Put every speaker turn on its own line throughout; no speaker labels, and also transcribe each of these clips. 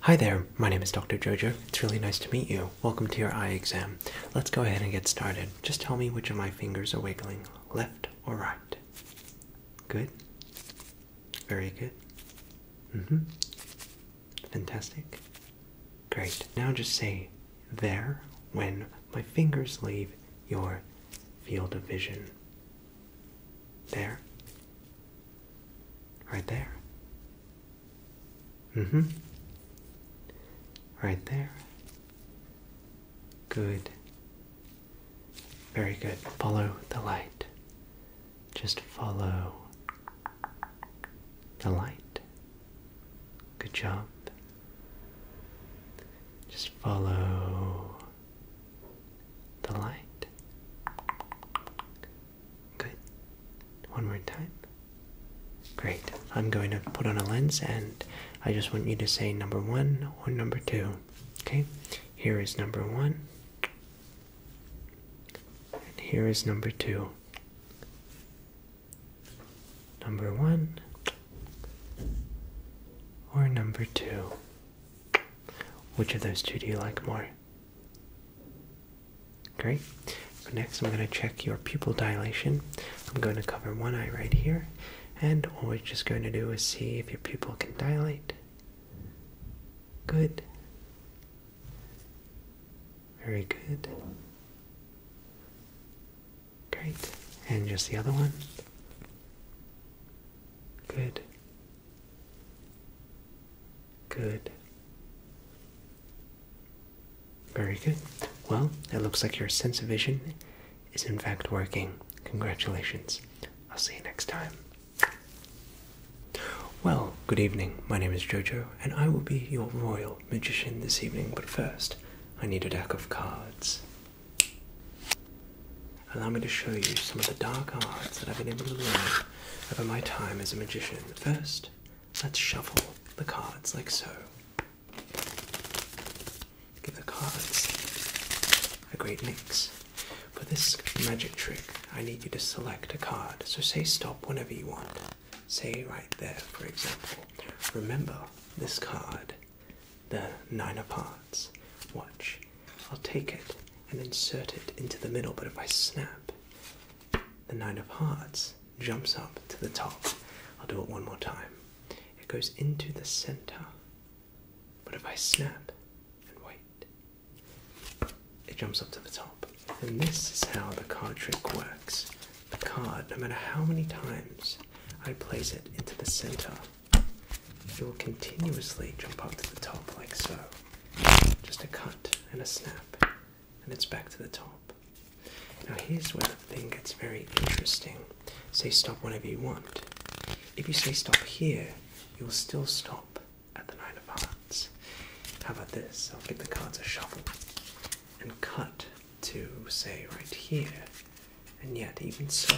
Hi there, my name is Dr. Jojo. It's really nice to meet you. Welcome to your eye exam. Let's go ahead and get started. Just tell me which of my fingers are wiggling, left or right. Good. Very good. Mm-hmm. Fantastic. Great. Now just say there when my fingers leave your field of vision. There. Right there. hmm. Right there. Good. Very good. Follow the light. Just follow the light. Good job. Just follow the light. Good. One more time. Great. I'm going to put on a lens and I just want you to say number one or number two. Okay? Here is number one. And here is number two. Number one or number two? Which of those two do you like more? Great. Next, I'm going to check your pupil dilation. I'm going to cover one eye right here, and all we're just going to do is see if your pupil can dilate. Good. Very good. Great. And just the other one. Good. Good. Very good. Well, it looks like your sense of vision is in fact working. Congratulations. I'll see you next time. Well, good evening. My name is Jojo, and I will be your royal magician this evening. But first, I need a deck of cards. Allow me to show you some of the dark arts that I've been able to learn over my time as a magician. First, let's shuffle the cards like so. Give the cards a great mix. For this magic trick, I need you to select a card. So say stop whenever you want. Say right there, for example. Remember this card, the Nine of Hearts. Watch. I'll take it and insert it into the middle, but if I snap, the Nine of Hearts jumps up to the top. I'll do it one more time. It goes into the center. But if I snap and wait, it jumps up to the top. And this is how the card trick works. The card, no matter how many times I place it into the center, it will continuously jump up to the top like so. Just a cut and a snap, and it's back to the top. Now, here's where the thing gets very interesting. Say stop whenever you want. If you say stop here, you'll still stop at the Nine of Hearts. How about this? I'll give the cards a shuffle and cut to, say, right here. And yet, even so,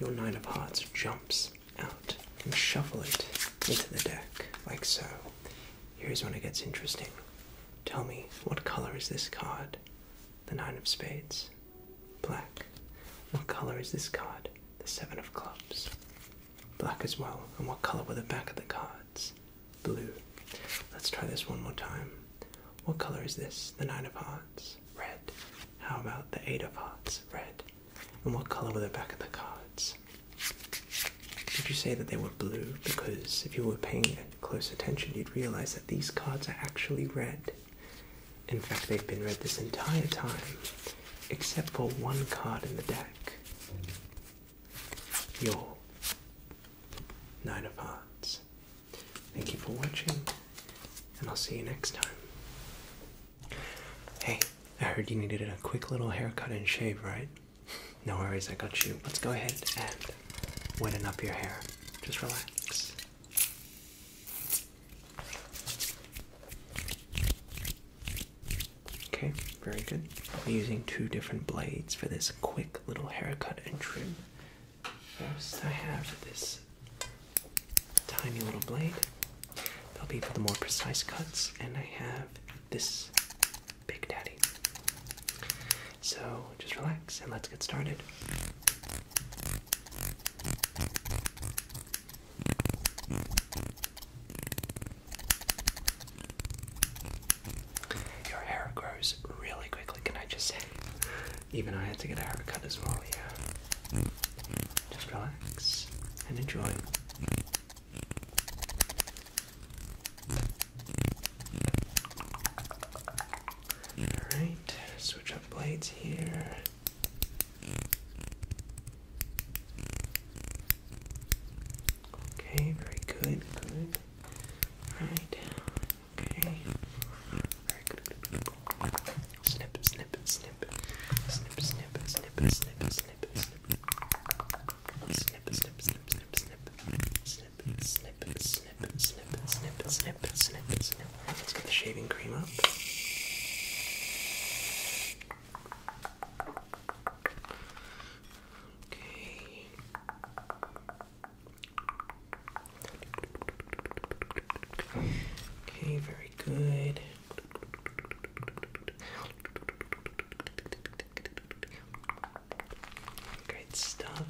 your Nine of Hearts jumps out and shuffle it into the deck, like so. Here's when it gets interesting. Tell me, what color is this card? The Nine of Spades. Black. What color is this card? The Seven of Clubs. Black as well. And what color were the back of the cards? Blue. Let's try this one more time. What color is this? The Nine of Hearts. Red. How about the Eight of Hearts? Red. And what color were the back of the cards? Did you say that they were blue? Because if you were paying close attention, you'd realize that these cards are actually red. In fact, they've been red this entire time, except for one card in the deck. Your Nine of Hearts. Thank you for watching, and I'll see you next time. Hey, I heard you needed a quick little haircut and shave, right? No worries, I got you. Let's go ahead and weten up your hair. Just relax. Okay, very good. I'm using two different blades for this quick little haircut and trim. First, I have this tiny little blade, They'll be for the more precise cuts, and I have this Big Daddy. So just relax and let's get started. Your hair grows really quickly, can I just say? Even I had to get a haircut as well, yeah. Just relax and enjoy. Alright, switch up blades here. Okay, very good, good. Alright, okay. Very good. Snip, snip, snip. Snip, snip, snip, snip, snip, Let's get the shaving cream up. Okay. Okay, very good. Great stuff.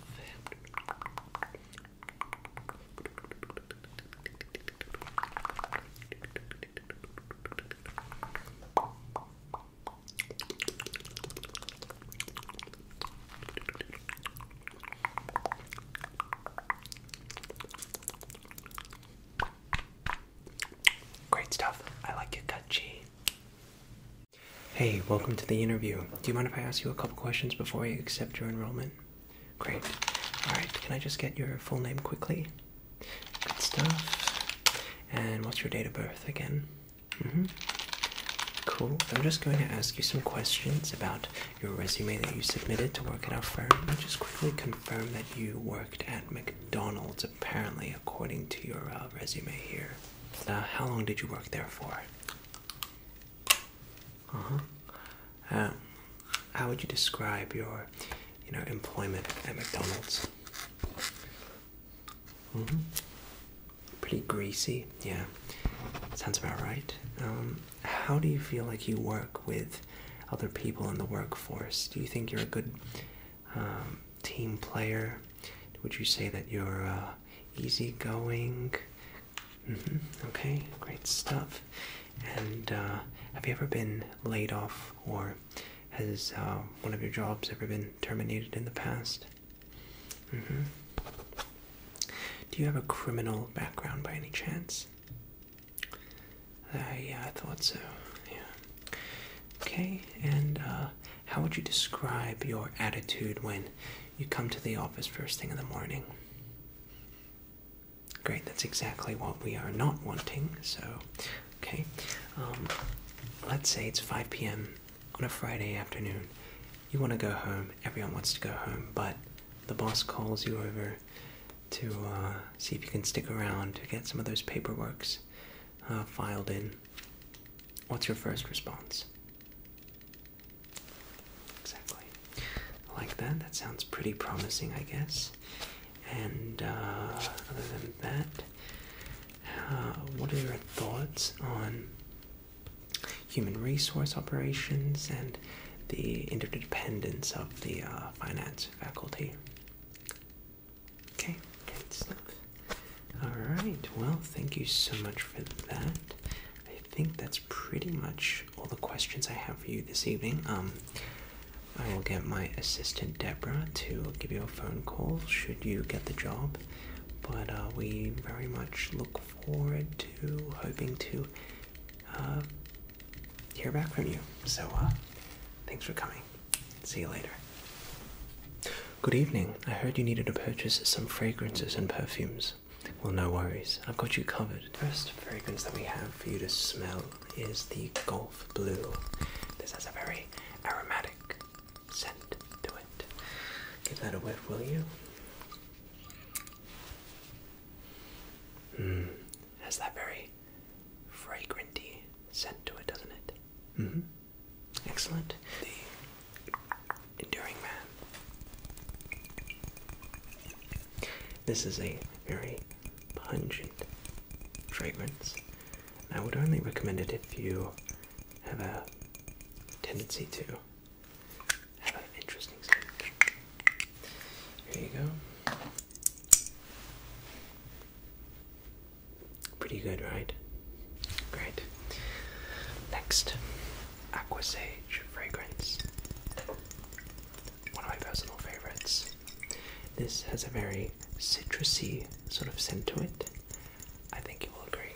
Great stuff. I like your gut Hey, welcome to the interview. Do you mind if I ask you a couple questions before I accept your enrollment? Great. Alright, can I just get your full name quickly? Good stuff. And what's your date of birth again? hmm. Cool. I'm just going to ask you some questions about your resume that you submitted to work at our firm. And just quickly confirm that you worked at McDonald's apparently, according to your uh, resume here. Uh, how long did you work there for? Uh-huh. Um, how would you describe your, you know, employment at McDonald's? -hmm. Pretty greasy, yeah. Sounds about right. Um, how do you feel like you work with other people in the workforce? Do you think you're a good um, team player? Would you say that you're uh, easygoing? Mm-hmm. Okay, great stuff. And uh, have you ever been laid off, or has uh, one of your jobs ever been terminated in the past? Mm-hmm. Do you have a criminal background by any chance? Uh, yeah, I thought so. Yeah. Okay, and uh, how would you describe your attitude when you come to the office first thing in the morning? Great, that's exactly what we are not wanting. So, okay, um, let's say it's 5 p.m. on a Friday afternoon. You want to go home, everyone wants to go home, but the boss calls you over to uh, see if you can stick around to get some of those paperworks uh, filed in. What's your first response? Exactly. like that. That sounds pretty promising, I guess. And uh, other than that, what are your thoughts on human resource operations and the interdependence of the finance faculty? Okay, good stuff. Alright, well, thank you so much for that. I think that's pretty much all the questions I have for you this evening. Um, I will get my assistant Deborah to give you a phone call should you get the job. But uh, we very much look forward to hoping to uh, hear back from you. So, uh, thanks for coming. See you later. Good evening. I heard you needed to purchase some fragrances and perfumes. Well, no worries. I've got you covered. The first fragrance that we have for you to smell is the Golf Blue. This has a very aromatic scent to it. Give that a whiff, will you? Mm, has that very fragranty scent to it, doesn't it? Mm-hmm. Excellent. The Enduring Man. This is a very pungent fragrance. I would only recommend it if you have a tendency to have an interesting scent. Here you go. Pretty good, right? Great. Next, Aqua Sage fragrance. One of my personal favorites. This has a very citrusy sort of scent to it. I think you will agree.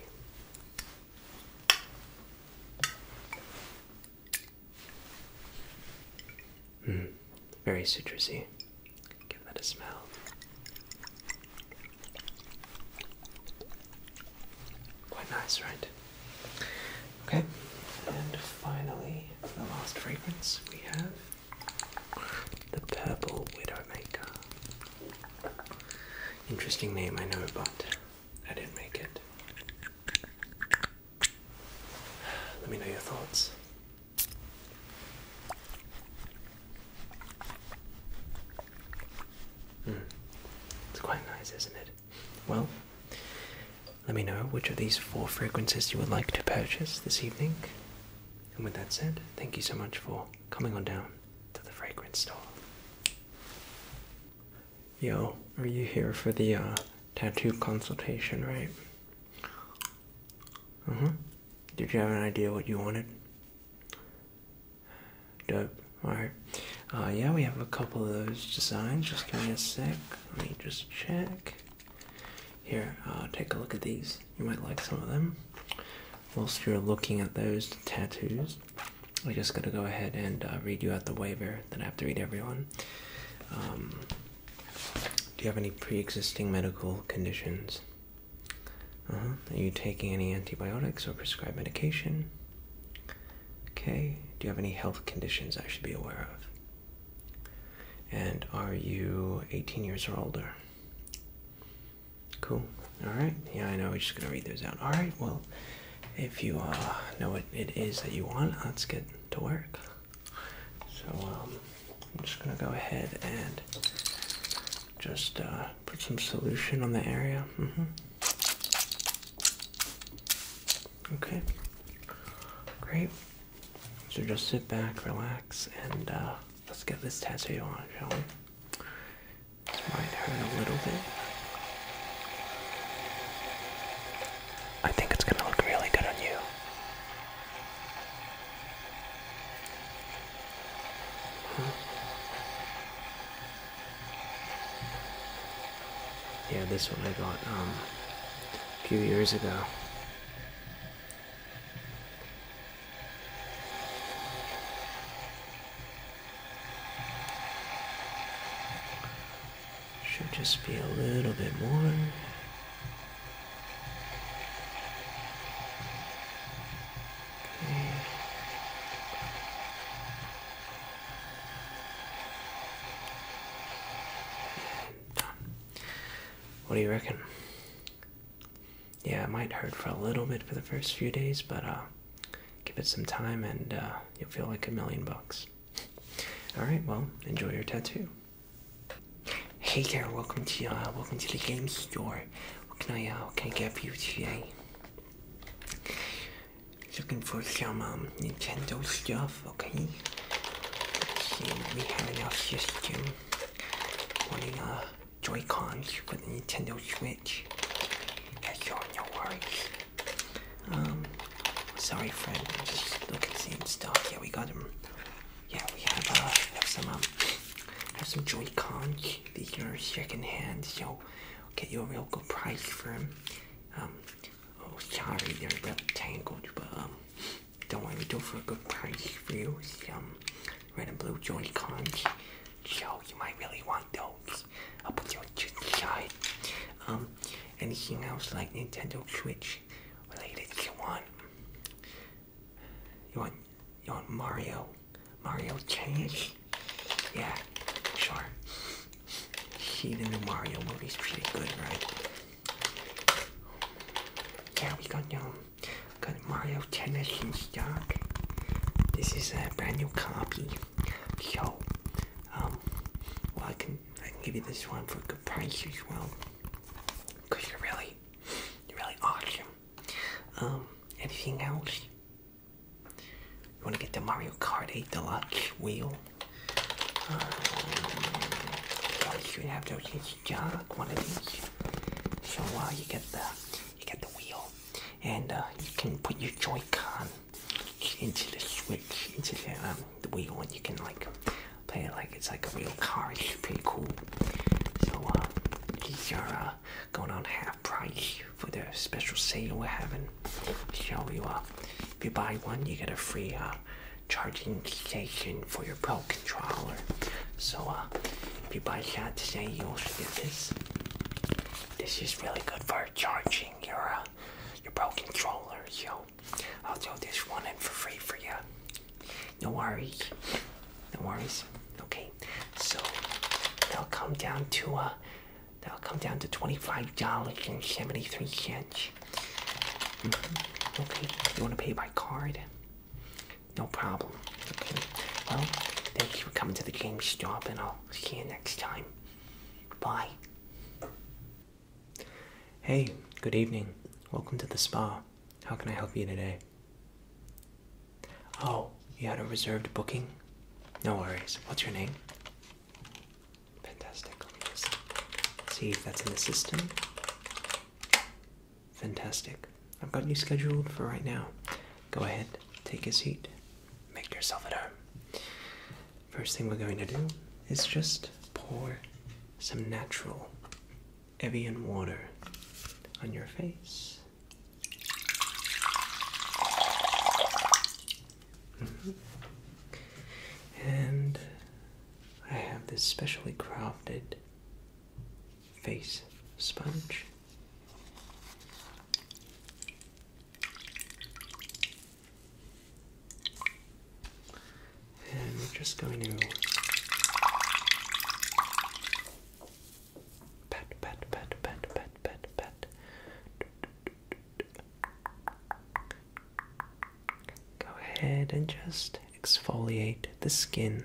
Mm, very citrusy. Give that a smell. Quite nice, right? Okay, and finally, the last fragrance we have the Purple Widowmaker. Interesting name, I know, but I didn't make it. Let me know your thoughts. Hmm. It's quite nice, isn't it? Well, let me know which of these four fragrances you would like to purchase this evening. And with that said, thank you so much for coming on down to the fragrance store. Yo, are you here for the uh, tattoo consultation, right? Uh mm-hmm. huh. Did you have an idea what you wanted? Dope. Alright. Uh, yeah, we have a couple of those designs. Just give me a sec. Let me just check. Here, uh, take a look at these. You might like some of them. Whilst you're looking at those tattoos, we're just going to go ahead and uh, read you out the waiver Then I have to read everyone. Um, do you have any pre existing medical conditions? Uh-huh. Are you taking any antibiotics or prescribed medication? Okay. Do you have any health conditions I should be aware of? And are you 18 years or older? Cool. Alright. Yeah, I know. We're just going to read those out. Alright. Well, if you uh, know what it is that you want, let's get to work. So um, I'm just gonna go ahead and just uh, put some solution on the area. Mm-hmm. Okay, great. So just sit back, relax, and uh, let's get this tattoo on, shall we? This might hurt a little bit. I think it's gonna look really good on you. Yeah, this one I got um, a few years ago. Should just be a little bit more. What do you reckon? Yeah, it might hurt for a little bit for the first few days, but uh, give it some time and uh, you'll feel like a million bucks. Alright, well, enjoy your tattoo. Hey there, welcome to uh, welcome to the game store. What can I uh, what can I get for you today? Looking for some um, Nintendo stuff, okay? let see, we have enough just to wanting uh Joy-Cons for the Nintendo Switch. That's all, no worries. Um, sorry friend, I'm just looking seeing stuff. Yeah, we got him yeah, uh, we have some um, have some Joy-Con. These are second hand, so get you a real good price for them. Um, oh, sorry, they're a bit tangled, but um, don't worry, we do for a good price for you. Some um, red and blue Joy-Cons, so you might really want those. I'll put those to the Um, anything else like Nintendo Switch related, you want? You want you want Mario Mario change? Yeah, sure. See the new Mario movie's pretty good, right? Yeah, we got um got Mario Tennis in stock. This is a brand new copy. So um, well I can I can give you this one for a good price as well. Cause you're really really awesome. Um, anything else? You want to get the Mario Kart 8 Deluxe wheel? You um, I should have to in stock, one of these. So while uh, you get the you get the wheel, and uh, you can put your Joy-Con into the switch, into the um, the wheel, and you can like play it like it's like a real car. It's pretty cool. So uh, these are uh, going on half price for the special sale we're having. Show you uh, if you buy one, you get a free uh, charging station for your Pro controller. So if you buy that today, you also get this. This is really good for charging your your Pro controller. So I'll throw this one in for free for you. No worries. No worries. Okay. So that'll come down to uh, that'll come down to twenty-five dollars and seventy-three cents. Mm Okay. You wanna pay by card? No problem. Okay. Well, thank you for coming to the James GameStop and I'll see you next time. Bye. Hey, good evening. Welcome to the spa. How can I help you today? Oh, you had a reserved booking? No worries. What's your name? Fantastic. see if that's in the system. Fantastic. I've got you scheduled for right now. Go ahead, take a seat, make yourself at home. First thing we're going to do is just pour some natural Evian water on your face. Mm-hmm. And I have this specially crafted face sponge and we're just going to pat, pat, pat, pat, pat, pat, pat. Go ahead and just exfoliate the skin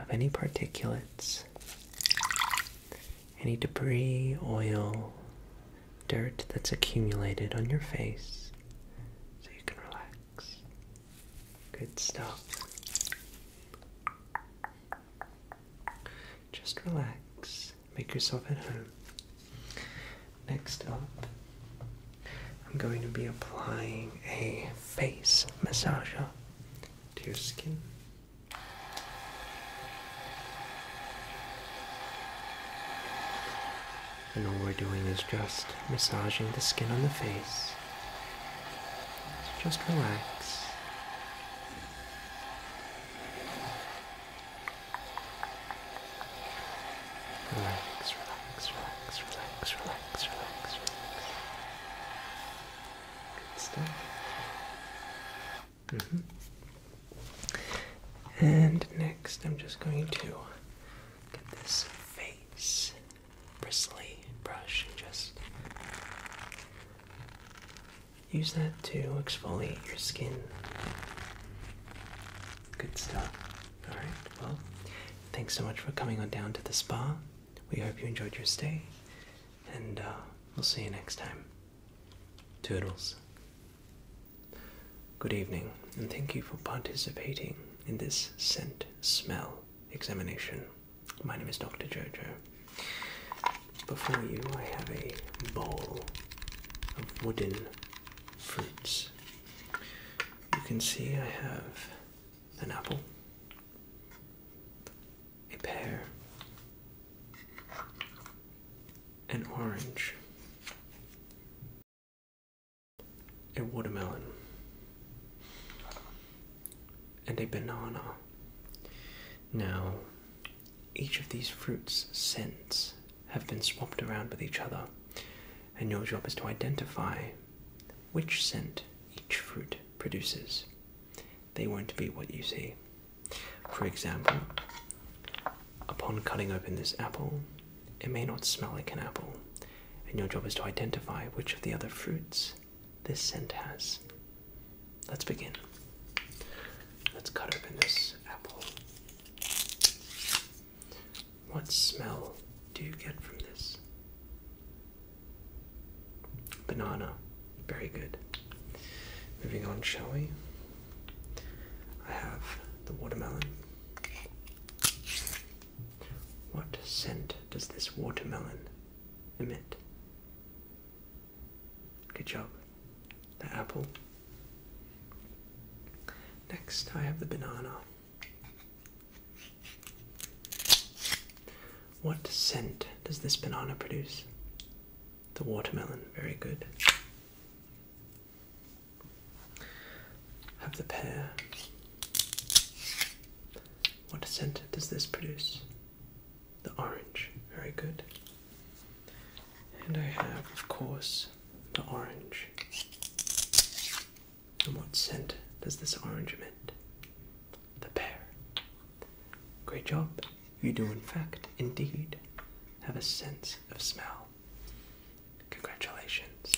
of any particulates, any debris, oil, dirt that's accumulated on your face so you can relax. Good stuff. Just relax. Make yourself at home. Next up, I'm going to be applying a face massager to your skin. And all we're doing is just massaging the skin on the face just relax. Relax, relax, relax, relax, relax, relax, relax. Good -hmm. And next, I'm just going to get this face bristly brush and just use that to exfoliate your skin. Good stuff. Alright, well, thanks so much for coming on down to the spa. We hope you enjoyed your stay, and uh, we'll see you next time. Toodles. Good evening, and thank you for participating in this scent smell examination. My name is Dr. Jojo. Before you, I have a bowl of wooden fruits. You can see I have an apple, a pear, an orange a watermelon, and a banana. Now, each of these fruits' scents have been swapped around with each other, and your job is to identify which scent each fruit produces. They won't be what you see. For example, upon cutting open this apple, it may not smell like an apple, and your job is to identify which of the other fruits this scent has. Let's begin. Let's cut open this apple. What smell do you get from this? Banana. Very good. Moving on, shall we? I have the watermelon. What scent does this watermelon emit? Good job. The apple. Next, I have the banana. What scent does this banana produce? The watermelon. Very good. Have the pear. What scent does this produce? The orange. Very good. And I have, of course, the orange. And what scent does this orange emit? The pear. Great job. You do, in fact, indeed, have a sense of smell. Congratulations.